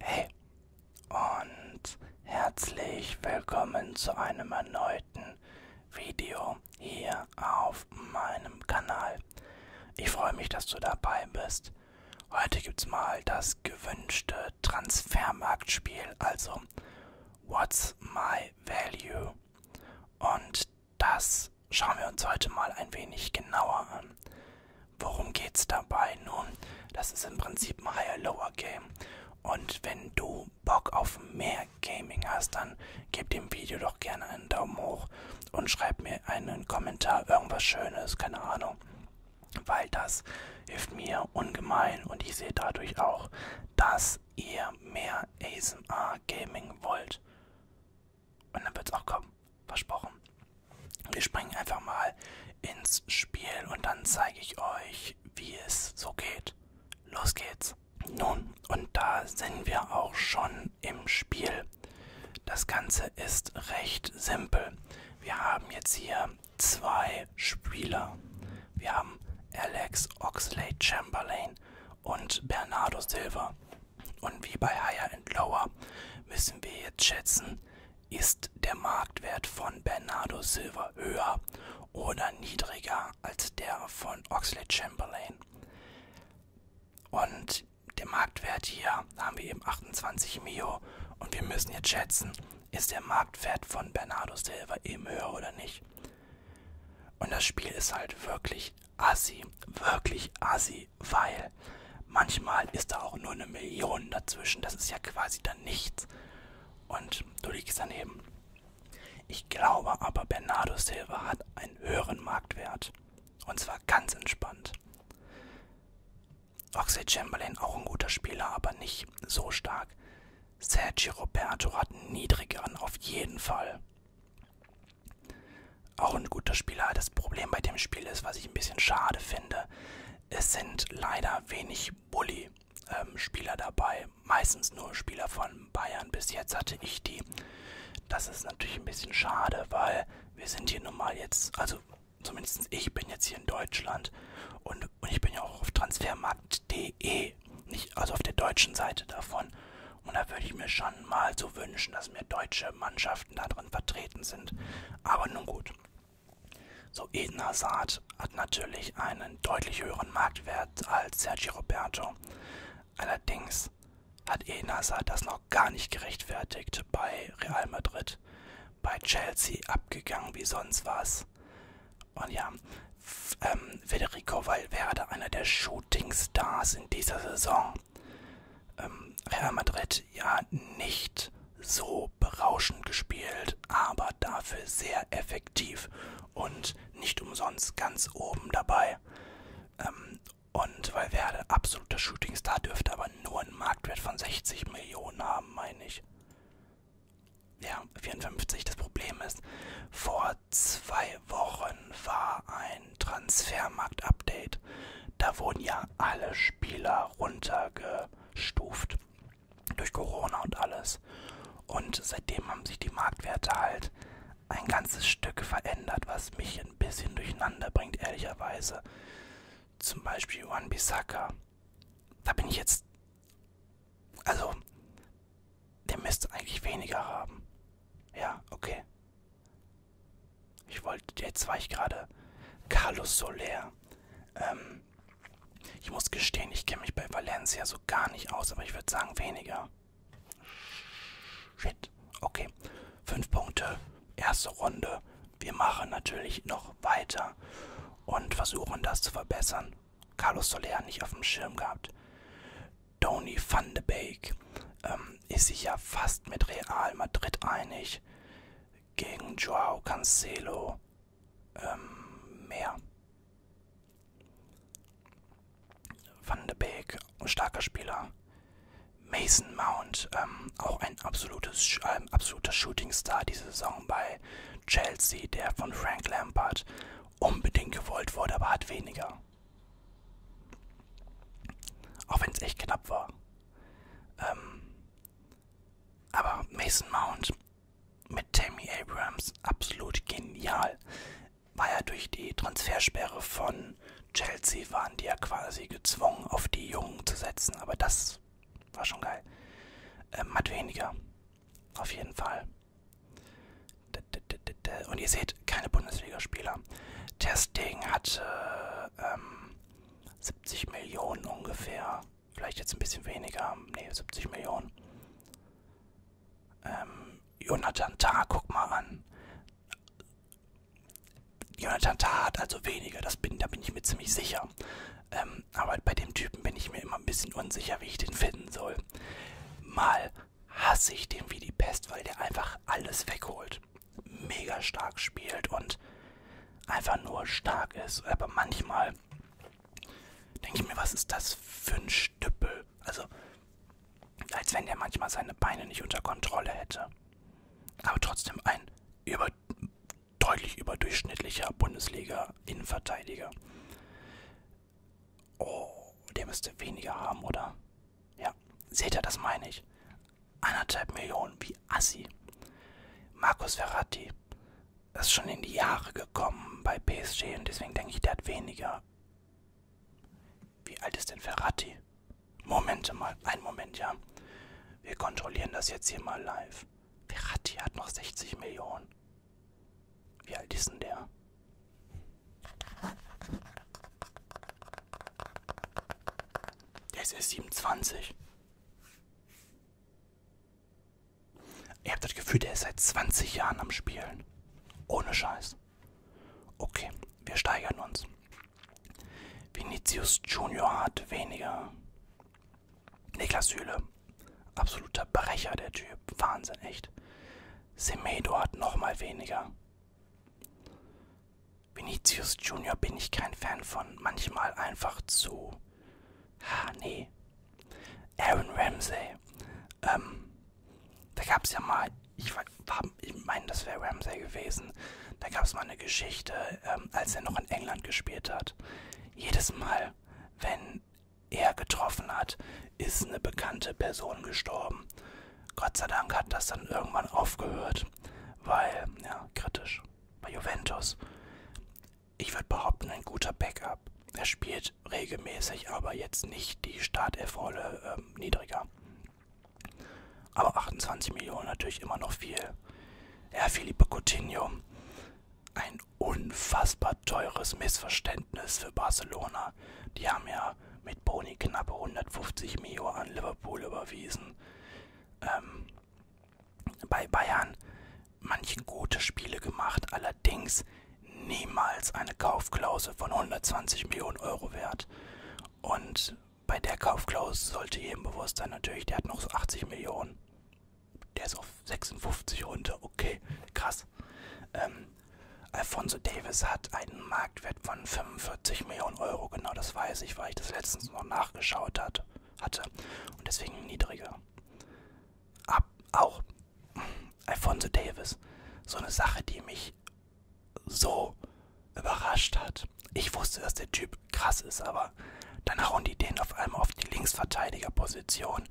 Hey und herzlich willkommen zu einem erneuten Video hier auf meinem Kanal. Ich freue mich, dass du dabei bist. Heute gibt's mal das gewünschte Transfermarktspiel, also What's My Value? Und das schauen wir uns heute mal ein wenig genauer an. Worum geht's dabei? Nun, das ist im Prinzip ein Higher-Lower-Game. Und wenn du Bock auf mehr Gaming hast, dann gib dem Video doch gerne einen Daumen hoch und schreib mir einen Kommentar, irgendwas Schönes, keine Ahnung. Weil das hilft mir ungemein und ich sehe dadurch auch, dass ihr mehr ASMR Gaming wollt. Und dann wird's auch kommen. Versprochen. Wir springen einfach mal ins Spiel und dann zeige ich euch, wie es so geht. Los geht's. Nun, und da sind wir auch schon im Spiel. Das Ganze ist recht simpel. Wir haben jetzt hier zwei Spieler. Wir haben Alex Oxley Chamberlain und Bernardo Silva. Und wie bei Higher and Lower müssen wir jetzt schätzen, ist der Marktwert von Bernardo Silva höher oder niedriger als der von Oxley Chamberlain? Und der Marktwert hier haben wir eben 28 Mio. Und wir müssen jetzt schätzen, ist der Marktwert von Bernardo Silva eben höher oder nicht? Und das Spiel ist halt wirklich assi, wirklich assi, weil Manchmal ist da auch nur eine Million dazwischen. Das ist ja quasi dann nichts. Und du liegst daneben. Ich glaube aber, Bernardo Silva hat einen höheren Marktwert. Und zwar ganz entspannt. Oxley Chamberlain auch ein guter Spieler, aber nicht so stark. Sergio Roberto hat einen niedrigeren, auf jeden Fall. Auch ein guter Spieler. Das Problem bei dem Spiel ist, was ich ein bisschen schade finde, es sind leider wenig Bully-Spieler ähm, dabei, meistens nur Spieler von Bayern. Bis jetzt hatte ich die. Das ist natürlich ein bisschen schade, weil wir sind hier nun mal jetzt, also zumindest ich bin jetzt hier in Deutschland und, und ich bin ja auch auf transfermarkt.de, nicht, also auf der deutschen Seite davon. Und da würde ich mir schon mal so wünschen, dass mehr deutsche Mannschaften da drin vertreten sind. Aber nun gut. So, Eden Hazard hat natürlich einen deutlich höheren Marktwert als Sergio Roberto. Allerdings hat Eden Hazard das noch gar nicht gerechtfertigt bei Real Madrid. Bei Chelsea abgegangen wie sonst was. Und ja, ähm, Federico Valverde, einer der Shooting Stars in dieser Saison. Ähm, Real Madrid ja nicht so berauschend gespielt, aber dafür sehr effektiv und nicht umsonst ganz oben dabei. Ähm, und weil Werder absoluter Shootingstar dürfte aber nur einen Marktwert von 60 Millionen haben, meine ich. Ja, 54. Das Problem ist, vor zwei Wochen war ein Transfermarkt-Update. Da wurden ja alle Spieler runtergeschickt eingestuft. Durch Corona und alles. Und seitdem haben sich die Marktwerte halt ein ganzes Stück verändert, was mich ein bisschen durcheinander bringt, ehrlicherweise. Zum Beispiel One Bissaka. Da bin ich jetzt. Also, der müsste eigentlich weniger haben. Ja, okay. Ich wollte. Jetzt war ich gerade. Carlos Soler. Ähm, ich muss gestehen, ich kenne mich bei Valencia so gar nicht aus, aber ich würde sagen weniger. Shit. Okay. Fünf Punkte. Erste Runde. Wir machen natürlich noch weiter und versuchen das zu verbessern. Carlos Soler nicht auf dem Schirm gehabt. Tony van de Beek ähm, ist sich ja fast mit Real Madrid einig gegen Joao Cancelo ähm, mehr. Van de Beek, starker Spieler. Mason Mount, ähm, auch ein absolutes, ähm, absoluter Shootingstar diese Saison bei Chelsea, der von Frank Lampard unbedingt gewollt wurde, aber hat weniger. Auch wenn es echt knapp war. Ähm, aber Mason Mount mit Tammy Abrams absolut genial. War ja durch die Transfersperre von Chelsea waren die ja quasi gezwungen, auf die Jungen zu setzen. Aber das war schon geil. Ähm, hat weniger. Auf jeden Fall. Und ihr seht, keine Bundesligaspieler. Testing hatte ähm, 70 Millionen ungefähr Vielleicht jetzt ein bisschen weniger. Ne, 70 Millionen. Ähm, Jonathan Tah, guck mal an. Jonathan Tah hat also weniger, das bin, da bin ich mir ziemlich sicher. Ähm, aber bei dem Typen bin ich mir immer ein bisschen unsicher, wie ich den finden soll. Mal hasse ich den wie die Pest, weil der einfach alles wegholt. Mega stark spielt und einfach nur stark ist. Aber manchmal denke ich mir, was ist das für ein Stüppel? Also, als wenn der manchmal seine Beine nicht unter Kontrolle hätte. Aber trotzdem ein über, deutlich überdurchschnittlicher Bundesliga-Innenverteidiger. Oh, der müsste weniger haben, oder? Ja, seht ihr, das meine ich. Anderthalb Millionen, wie assi. Markus Verratti ist schon in die Jahre gekommen bei PSG und deswegen denke ich, der hat weniger. Wie alt ist denn Verratti? Momente mal, einen Moment, ja. Wir kontrollieren das jetzt hier mal live. Verratti hat noch 60 Millionen. Wie alt ist denn der? Der ist erst 27. Ihr habt das Gefühl, der ist seit 20 Jahren am Spielen. Ohne Scheiß. Okay, wir steigern uns. Vinicius Junior hat weniger. Niklas Hüle. Absoluter Brecher, der Typ. Wahnsinn, echt. Semedo hat nochmal weniger. Vinicius Junior bin ich kein Fan von. Manchmal einfach zu Ah, nee. Aaron Ramsey. Ähm, da gab es ja mal, ich, war, ich meine, das wäre Ramsey gewesen. Da gab es mal eine Geschichte, ähm, als er noch in England gespielt hat. Jedes Mal, wenn er getroffen hat, ist eine bekannte Person gestorben. Gott sei Dank hat das dann irgendwann aufgehört, weil, ja, kritisch bei Juventus. Ich würde behaupten, ein guter Backup. Er spielt regelmäßig, aber jetzt nicht die Startelf-Rolle ähm, niedriger. Aber 28 Millionen natürlich immer noch viel. Herr Felipe Coutinho, ein unfassbar teures Missverständnis für Barcelona. Die haben ja mit Boni knappe 150 Mio an Liverpool überwiesen. Ähm, bei Bayern manche gute Spiele gemacht, allerdings niemals eine Kaufklausel von 120 Millionen Euro wert. Und bei der Kaufklausel sollte jedem bewusst sein, natürlich, der hat noch so 80 Millionen. Der ist auf 56 runter, okay, krass. Ähm, Alfonso Davis hat einen Marktwert von 45 Millionen Euro, genau das weiß ich, weil ich das letztens noch nachgeschaut hat, hatte und deswegen niedriger. Ab, auch Alfonso Davis, so eine Sache, die mich so überrascht hat. Ich wusste, dass der Typ krass ist, aber dann hauen die den auf einmal auf die Linksverteidigerposition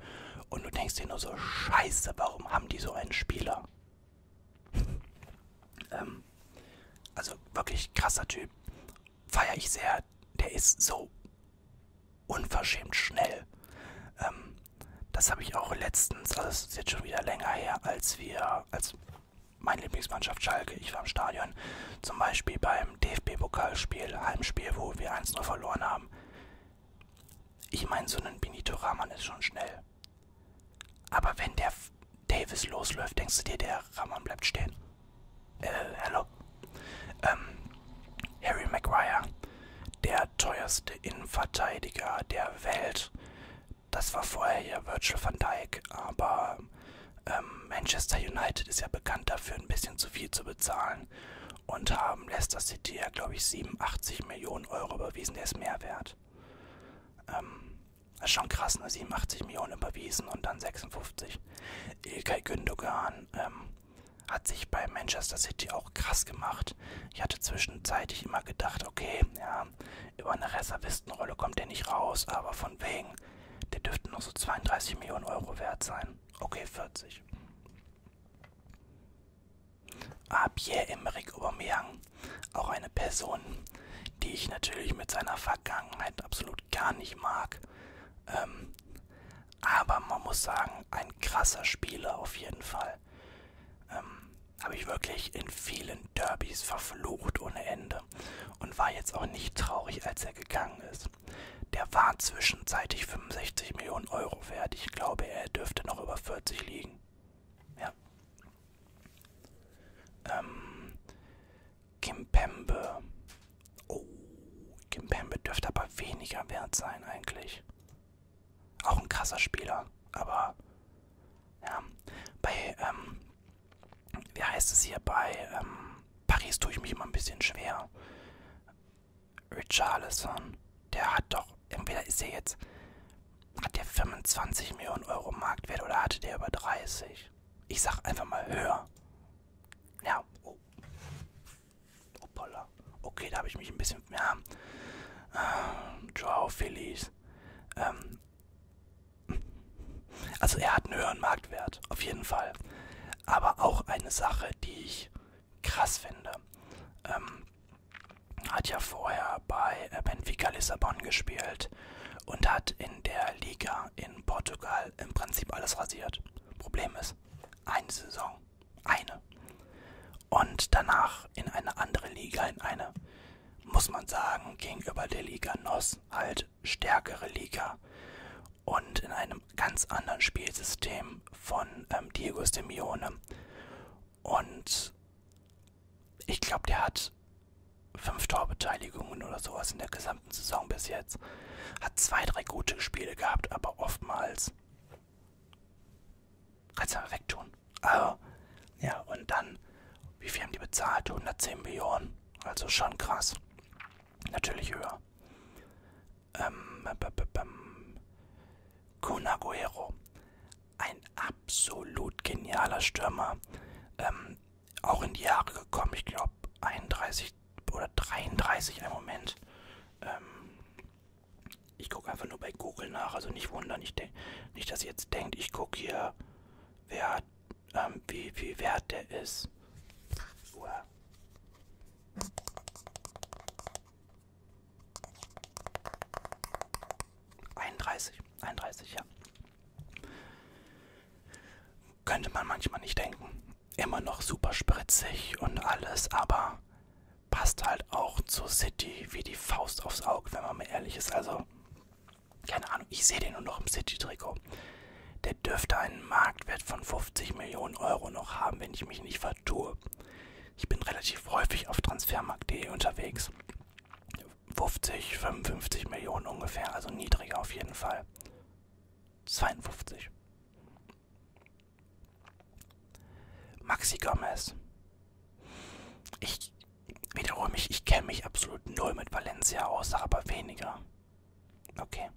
und du denkst dir nur so, scheiße, warum haben die so einen Spieler? ähm, also wirklich krasser Typ feiere ich sehr. Der ist so unverschämt schnell. Ähm, das habe ich auch letztens, also das ist jetzt schon wieder länger her, als wir, als meine Lieblingsmannschaft Schalke, ich war im Stadion, zum Beispiel beim DFB-Pokalspiel, Heimspiel, wo wir 1-0 verloren haben. Ich meine, so ein Benito Rahman ist schon schnell. Aber wenn der Davis losläuft, denkst du dir, der Rahman bleibt stehen? äh, hello, ähm, Harry Maguire, der teuerste Innenverteidiger der Welt. Das war vorher ja Virgil van Dijk, aber ähm, Manchester United ist ja bekannt dafür, ein bisschen zu viel zu bezahlen und haben Leicester City ja, glaube ich, 87 Millionen Euro überwiesen, der ist mehr wert. Ähm, das ist schon krass, ne? 87 Millionen überwiesen und dann 56. Ilkay Gündogan ähm, hat sich bei Manchester City auch krass gemacht. Ich hatte zwischenzeitlich immer gedacht, okay, ja, über eine Reservistenrolle kommt der nicht raus, aber von wegen, der dürfte noch so 32 Millionen Euro wert sein. Okay, 40. Ah, Pierre-Emerick Aubameyang, auch eine Person, die ich natürlich mit seiner Vergangenheit absolut überhaupt gar nicht mag. Ähm, aber man muss sagen, ein krasser Spieler auf jeden Fall. Ähm, Habe ich wirklich in vielen Derbys verflucht ohne Ende und war jetzt auch nicht traurig, als er gegangen ist. Der war zwischenzeitlich 65 Millionen Euro wert. Ich glaube, er dürfte noch über 40 liegen. Ja. Ähm, Kimpembe. Oh, Kimpembe dürfte aber weniger wert sein eigentlich. Auch ein krasser Spieler, aber ja, bei, ähm, wie heißt es hier, bei ähm, Paris tue ich mich immer ein bisschen schwer. Richarlison, der hat doch, entweder ist er jetzt, hat der 25 Millionen Euro Marktwert oder hatte der über 30? Ich sag einfach mal höher. Ja, oh. Hoppala. Okay, da habe ich mich ein bisschen. Ja. Äh, Joao Felix. Ähm. Also, er hat einen höheren Marktwert, auf jeden Fall. Aber auch eine Sache, die ich krass finde. Ähm, hat ja vorher bei Benfica Lissabon gespielt und hat in in der Liga in Portugal im Prinzip alles rasiert. Problem ist, eine Saison, eine. Und danach in eine andere Liga, in eine, muss man sagen, gegenüber der Liga NOS halt stärkere Liga. Und in einem ganz anderen Spielsystem von ähm, Diego Simeone. Und ich glaube, der hat fünf Torbeteiligungen oder sowas in der gesamten gesamten Saison bis jetzt. Hat zwei, drei gute Spiele gehabt, aber oftmals kannst du aber wegtun. Also, ja, und dann, wie viel haben die bezahlt? 110 Millionen. Also schon krass. Natürlich höher. Ähm, Kun Aguero. Ein absolut genialer Stürmer. Ähm, auch in die Jahre gekommen. Ich glaube 31 oder 33, ein Moment. Ähm, ich gucke einfach nur bei Google nach, also nicht wundern, ich nicht, dass ihr jetzt denkt, ich gucke hier, wer, ähm, wie, wie wert der ist. Uah. ...31, 31, ja. Könnte man manchmal nicht denken immer noch super spritzig und alles, aber passt halt auch zur City wie die Faust aufs Auge, wenn man mal ehrlich ist. Also, keine Ahnung, ich sehe den nur noch im City-Trikot. Der dürfte einen Marktwert von 50 Millionen Euro noch haben, wenn ich mich nicht vertue. Ich bin relativ häufig auf transfermarkt.de unterwegs. 50, 55 Millionen ungefähr, also niedriger auf jeden Fall. 52. Maxi Gomez. Ich wiederhole mich, ich kenne mich absolut null mit Valencia aus, aber weniger. Okay.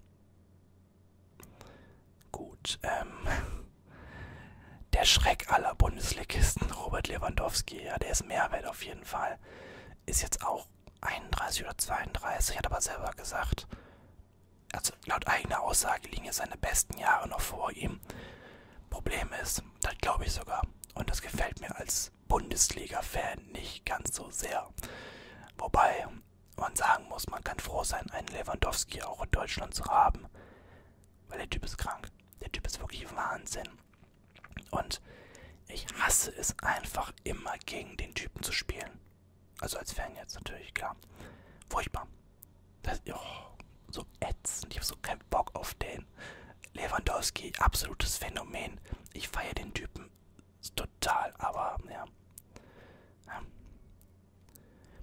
Gut. Ähm, der Schreck aller Bundesligisten, Robert Lewandowski, ja, der ist Mehrwert auf jeden Fall ist jetzt auch 31 oder 32, hat aber selber gesagt, also laut eigener Aussage liegen jetzt seine besten Jahre noch vor ihm. Problem ist, das glaube ich sogar, und das gefällt mir als Bundesliga-Fan nicht ganz so sehr. Wobei man sagen muss, man kann froh sein, einen Lewandowski auch in Deutschland zu haben, weil der Typ ist krank. Der Typ ist wirklich Wahnsinn. Und ich hasse es einfach immer gegen den Typen zu spielen. Also als Fan jetzt natürlich, klar. Furchtbar. Das, oh, so ätzend. Ich habe so keinen Bock auf den. Lewandowski, absolutes Phänomen. Ich feiere den Typen total, aber ja. ja.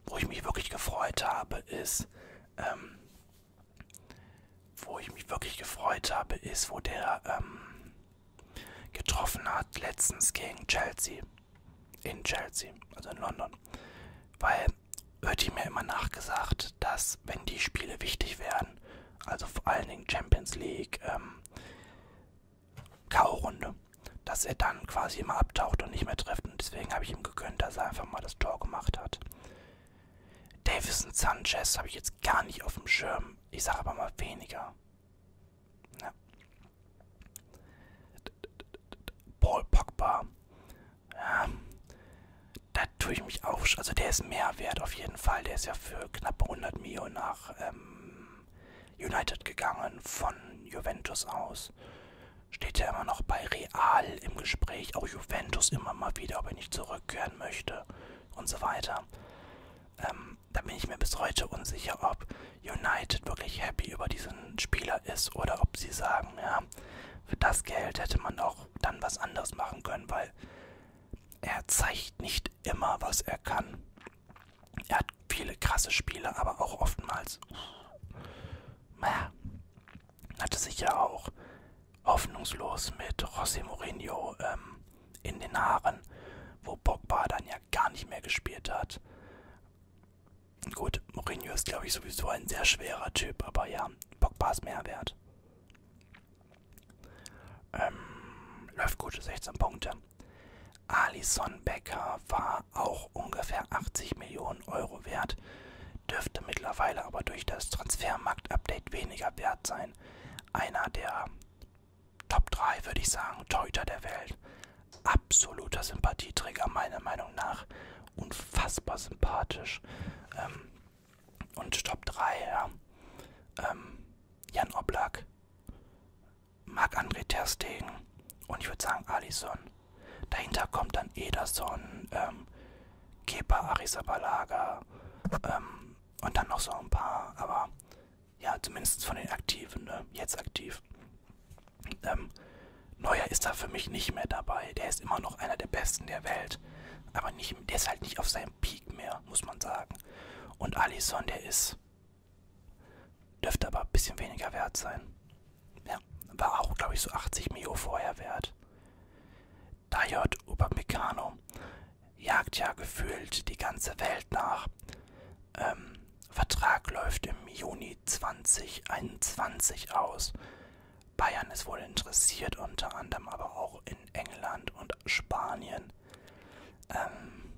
Wo ich mich wirklich gefreut habe, ist, ähm, wo ich mich wirklich gefreut habe, ist, wo der, ähm, getroffen hat, letztens gegen Chelsea. In Chelsea, also in London. Weil wird ihm ja immer nachgesagt, dass wenn die Spiele wichtig werden, also vor allen Dingen Champions League, ähm, K.O.-Runde, dass er dann quasi immer abtaucht und nicht mehr trifft. Und deswegen habe ich ihm gegönnt, dass er einfach mal das Tor gemacht hat. Davison Sanchez habe ich jetzt gar nicht auf dem Schirm. Ich sage aber mal weniger. Ja. Paul Pogba. Ja. Da tue ich mich auch. Also der ist mehr wert auf jeden Fall. Der ist ja für knapp 100 Millionen nach ähm, United gegangen von Juventus aus. Steht ja immer noch bei Real im Gespräch. Auch Juventus immer mal wieder, ob er nicht zurückkehren möchte und so weiter. Ähm, da bin ich mir bis heute unsicher, ob United wirklich happy über diesen Spieler ist oder ob sie sagen, ja, für das Geld hätte man auch dann was anderes machen können, weil er zeigt nicht immer, was er kann. Er hat viele krasse Spiele, aber auch oftmals, naja, hatte sich ja auch hoffnungslos mit José Mourinho ähm, in den Haaren, wo Pogba dann ja gar nicht mehr gespielt hat. Gut, Mourinho ist glaube ich sowieso ein sehr schwerer Typ, aber ja, Pogba ist mehr wert. Ähm, läuft gut, 16 Punkte. Alison Becker war auch ungefähr 80 Millionen Euro wert, dürfte mittlerweile aber durch das Transfermarkt-Update weniger wert sein. Einer der Top 3 würde ich sagen, Torhüter der Welt. Absoluter Sympathieträger, meiner Meinung nach. Unfassbar sympathisch. Ähm, und Top 3, ja. Ähm, Jan Oblak, Marc-André Terstegen und ich würde sagen Alisson. Dahinter kommt dann Ederson, ähm, Kepa Arisabalaga ähm, und dann noch so ein paar. Aber ja, zumindest von den Aktiven, ne? jetzt aktiv. Ähm, Neuer ist da für mich nicht mehr dabei. Der ist immer noch einer der Besten der Welt. Aber nicht, der ist halt nicht auf seinem Peak mehr, muss man sagen. Und Alisson, der ist, dürfte aber ein bisschen weniger wert sein. Ja, war auch, glaube ich, so 80 Mio vorher wert. Dayot Upamecano, jagt ja gefühlt die ganze Welt nach. Ähm, Vertrag läuft im Juni 2021 aus. Bayern ist wohl interessiert, unter anderem aber auch in England und Spanien. Ähm,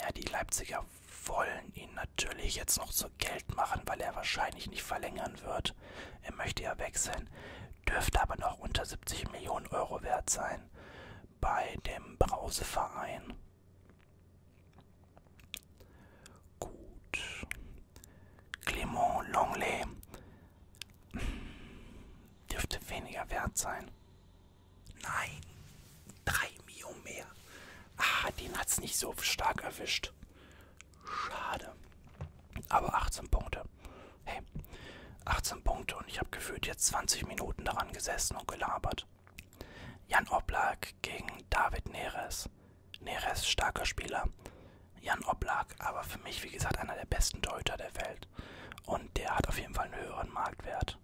ja, die Leipziger wollen ihn natürlich jetzt noch zu Geld machen, weil er wahrscheinlich nicht verlängern wird. Er möchte ja wechseln, dürfte aber noch unter 70 Millionen Euro wert sein bei dem Brauseverein. Gut. Clément Longley dürfte weniger wert sein. Nein, drei Mio mehr. Ah, den hat's nicht so stark erwischt. Schade. Aber 18 Punkte. Hey, 18 Punkte und ich habe gefühlt jetzt 20 Minuten daran gesessen und gelabert. Jan Oblak gegen David Neres. Neres, starker Spieler. Jan Oblak, aber für mich, wie gesagt, einer der besten Torhüter der Welt. Und der hat auf jeden Fall einen höheren Marktwert.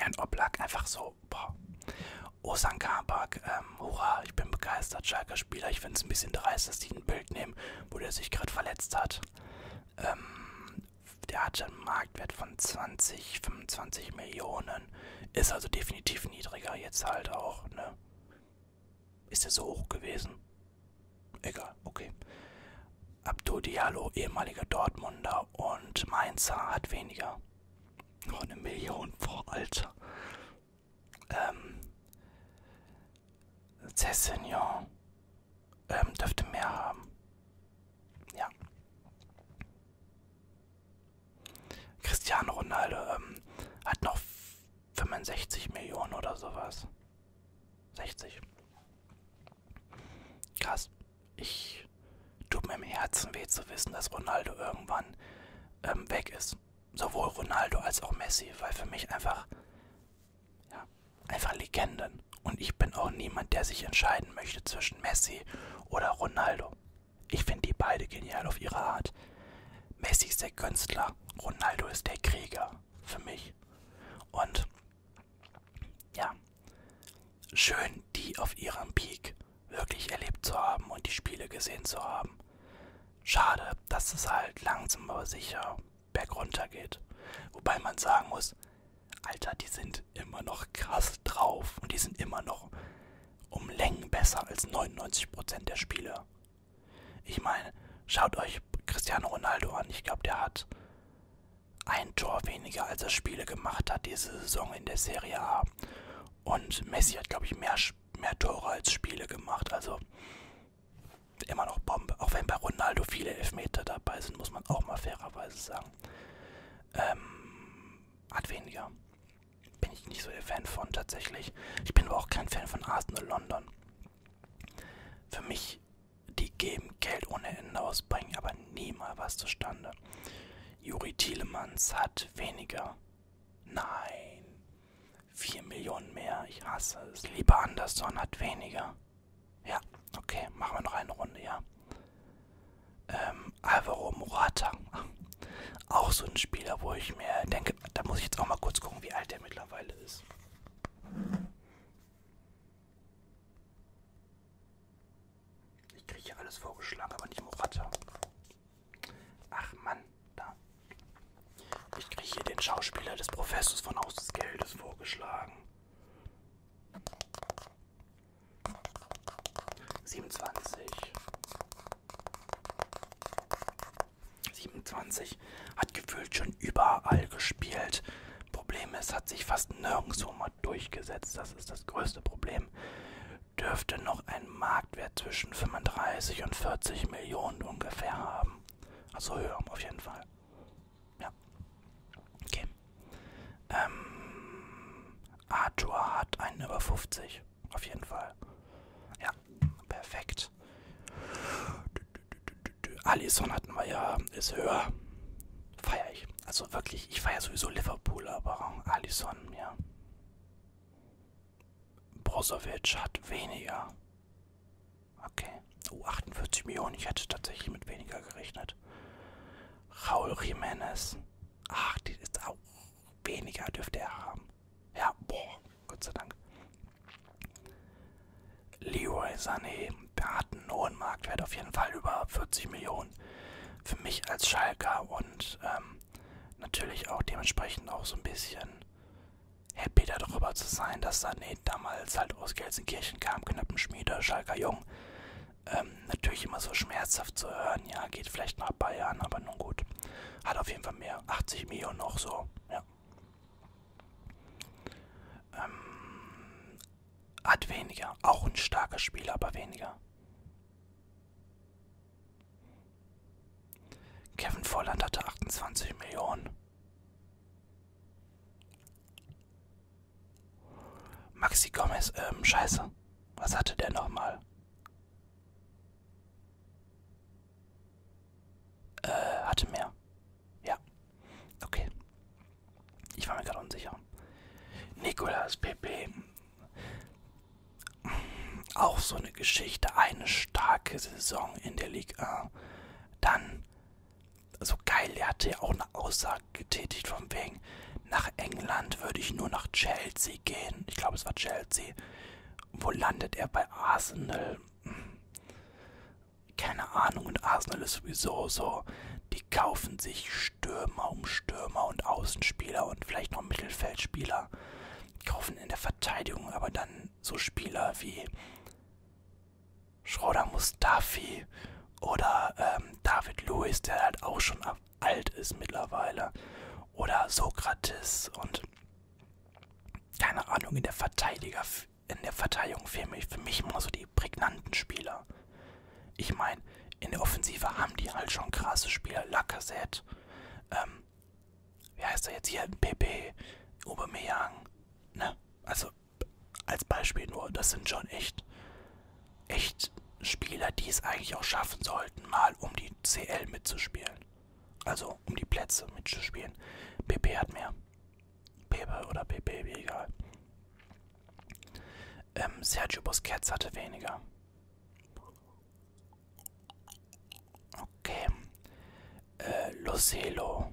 Jan Oblak, einfach so, boah. Osan Kabak, ähm, hurra, ich bin begeistert, starker Spieler. Ich finde es ein bisschen dreist, dass die ein Bild nehmen, wo der sich gerade verletzt hat. Ähm, der hatte einen Marktwert von 20, 25 Millionen. Ist also definitiv niedriger jetzt halt auch, ne? Ist er so hoch gewesen? Egal, okay. Abdou Diallo, ehemaliger Dortmunder und Mainzer, hat weniger. Noch eine Million vor, Alter. Ähm, Cessignon ähm, dürfte mehr haben. Ja. Cristiano Ronaldo ähm, hat noch 65 Millionen oder sowas. 60. Krass. Ich tut mir im Herzen weh zu wissen, dass Ronaldo irgendwann ähm, weg ist. Sowohl Ronaldo als auch Messi, weil für mich einfach, ja, einfach Legenden entscheiden. Und ich bin auch niemand, der sich entscheiden möchte zwischen Messi oder Ronaldo. Ich finde die beide genial auf ihre Art. Messi ist der Künstler, Ronaldo ist der Krieger für mich. Und ja, schön, die auf ihrem Peak wirklich erlebt zu haben und die Spiele gesehen zu haben. Schade, dass es halt langsam aber sicher bergunter geht. Wobei man sagen muss, Alter, die sind immer noch krass drauf und die sind immer noch um Längen besser als 99% der Spieler. Ich meine, schaut euch Cristiano Ronaldo an. Ich glaube, der hat ein Tor weniger, als er Spiele gemacht hat diese Saison in der Serie A. Und Messi hat, glaube ich, mehr, mehr Tore als Spiele gemacht. Also immer noch Bombe. Auch wenn bei Ronaldo viele Elfmeter dabei sind, muss man auch mal fairerweise sagen. Ähm, hat weniger. Bin ich nicht so der Fan von tatsächlich. Ich bin aber auch kein Fan von Arsenal London. Für mich, die geben Geld ohne Ende aus, bringen aber nie mal was zustande. Juri Thielemanns hat weniger. Nein. 4 Millionen mehr. Ich hasse es. Lieber Anderson hat weniger. Ja, okay, machen wir noch eine Runde, ja. Ähm, Alvaro Morata. Auch so ein Spieler, wo ich mir denke, da muss ich jetzt auch mal kurz gucken, wie alt der mittlerweile ist. Ich kriege hier alles vorgeschlagen, aber nicht Morata. Ach Mann, da. Ich kriege hier den Schauspieler des Professors von Haus des Geldes vorgeschlagen. 27. 27 hat gefühlt schon überall gespielt. Problem ist, hat sich fast nirgendwo mal durchgesetzt. Das ist das größte Problem. Dürfte noch einen Marktwert zwischen 35 und 40 Millionen ungefähr haben. Also höher auf jeden Fall. Ja. Okay. Ähm, Arthur hat einen über 50. Auf jeden Fall. Ja, perfekt. Alisson hatten wir ja, ist höher. Feier ich. Also wirklich, ich feiere sowieso Liverpool, aber Alisson, ja. Brozovic hat weniger. Okay. Oh, 48 Millionen. Ich hätte tatsächlich mit weniger gerechnet. Raul Jiménez. Ach, die ist auch weniger, dürfte er haben. Ja, boah, Gott sei Dank. Leroy Sané, der hat einen hohen Marktwert, auf jeden Fall über 40 Millionen. Für mich als Schalker und ähm, natürlich auch dementsprechend auch so ein bisschen happy darüber zu sein, dass da nee, damals halt aus Gelsenkirchen kam, Knappenschmiede, Schalker Jung. Ähm, natürlich immer so schmerzhaft zu hören, ja, geht vielleicht nach Bayern, aber nun gut. Hat auf jeden Fall mehr, 80 Millionen noch so, ja. Ähm, hat weniger, auch ein starker Spieler, aber weniger. Kevin Volland hatte 28 Millionen. Maxi Gomez, ähm, scheiße. Was hatte der nochmal? Äh, hatte mehr. Ja. Okay. Ich war mir gerade unsicher. Nicolas Pepe. Auch so eine Geschichte. Eine starke Saison in der Liga. Dann so geil, er hatte ja auch eine Aussage getätigt von wegen, nach England würde ich nur nach Chelsea gehen. Ich glaube, es war Chelsea. Wo landet er bei Arsenal? Keine Ahnung. Und Arsenal ist sowieso so. Die kaufen sich Stürmer um Stürmer und Außenspieler und vielleicht noch Mittelfeldspieler. Die kaufen in der Verteidigung aber dann so Spieler wie Schroeder Mustafi oder ähm, David Lewis, der halt auch schon alt ist mittlerweile. Oder Sokrates und keine Ahnung, in der Verteidiger, in der Verteidigung fehlen mich für mich immer so die prägnanten Spieler. Ich meine, in der Offensive haben die halt schon krasse Spieler. Lacazette, ähm, wie heißt er jetzt hier? PP, Aubameyang, ne? Also, als Beispiel nur, das sind schon echt, echt Spieler, die es eigentlich auch schaffen sollten, mal um die CL mitzuspielen. Also um die Plätze mitzuspielen. PP hat mehr. Pepe oder PP, wie egal. Ähm, Sergio Busquets hatte weniger. Okay. Äh, Lucelo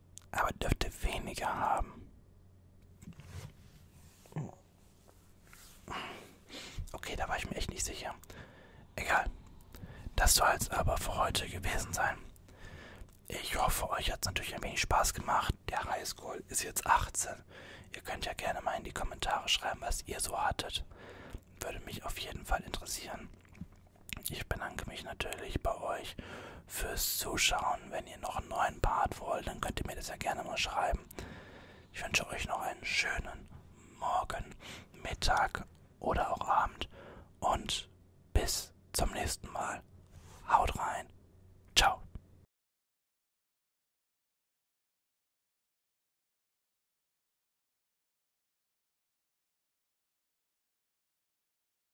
aber dürfte weniger haben. Okay, da war ich mir echt nicht sicher. Egal. Das soll es aber für heute gewesen sein. Ich hoffe, euch hat es natürlich ein wenig Spaß gemacht. Der Highschool ist jetzt 18. Ihr könnt ja gerne mal in die Kommentare schreiben, was ihr so hattet. Würde mich auf jeden Fall interessieren. Ich bedanke mich natürlich bei euch fürs Zuschauen. Wenn ihr noch einen neuen Part wollt, dann könnt ihr mir das ja gerne mal schreiben. Ich wünsche euch noch einen schönen Morgen, Mittag oder auch Abend und bis zum nächsten Mal. Haut rein. Ciao.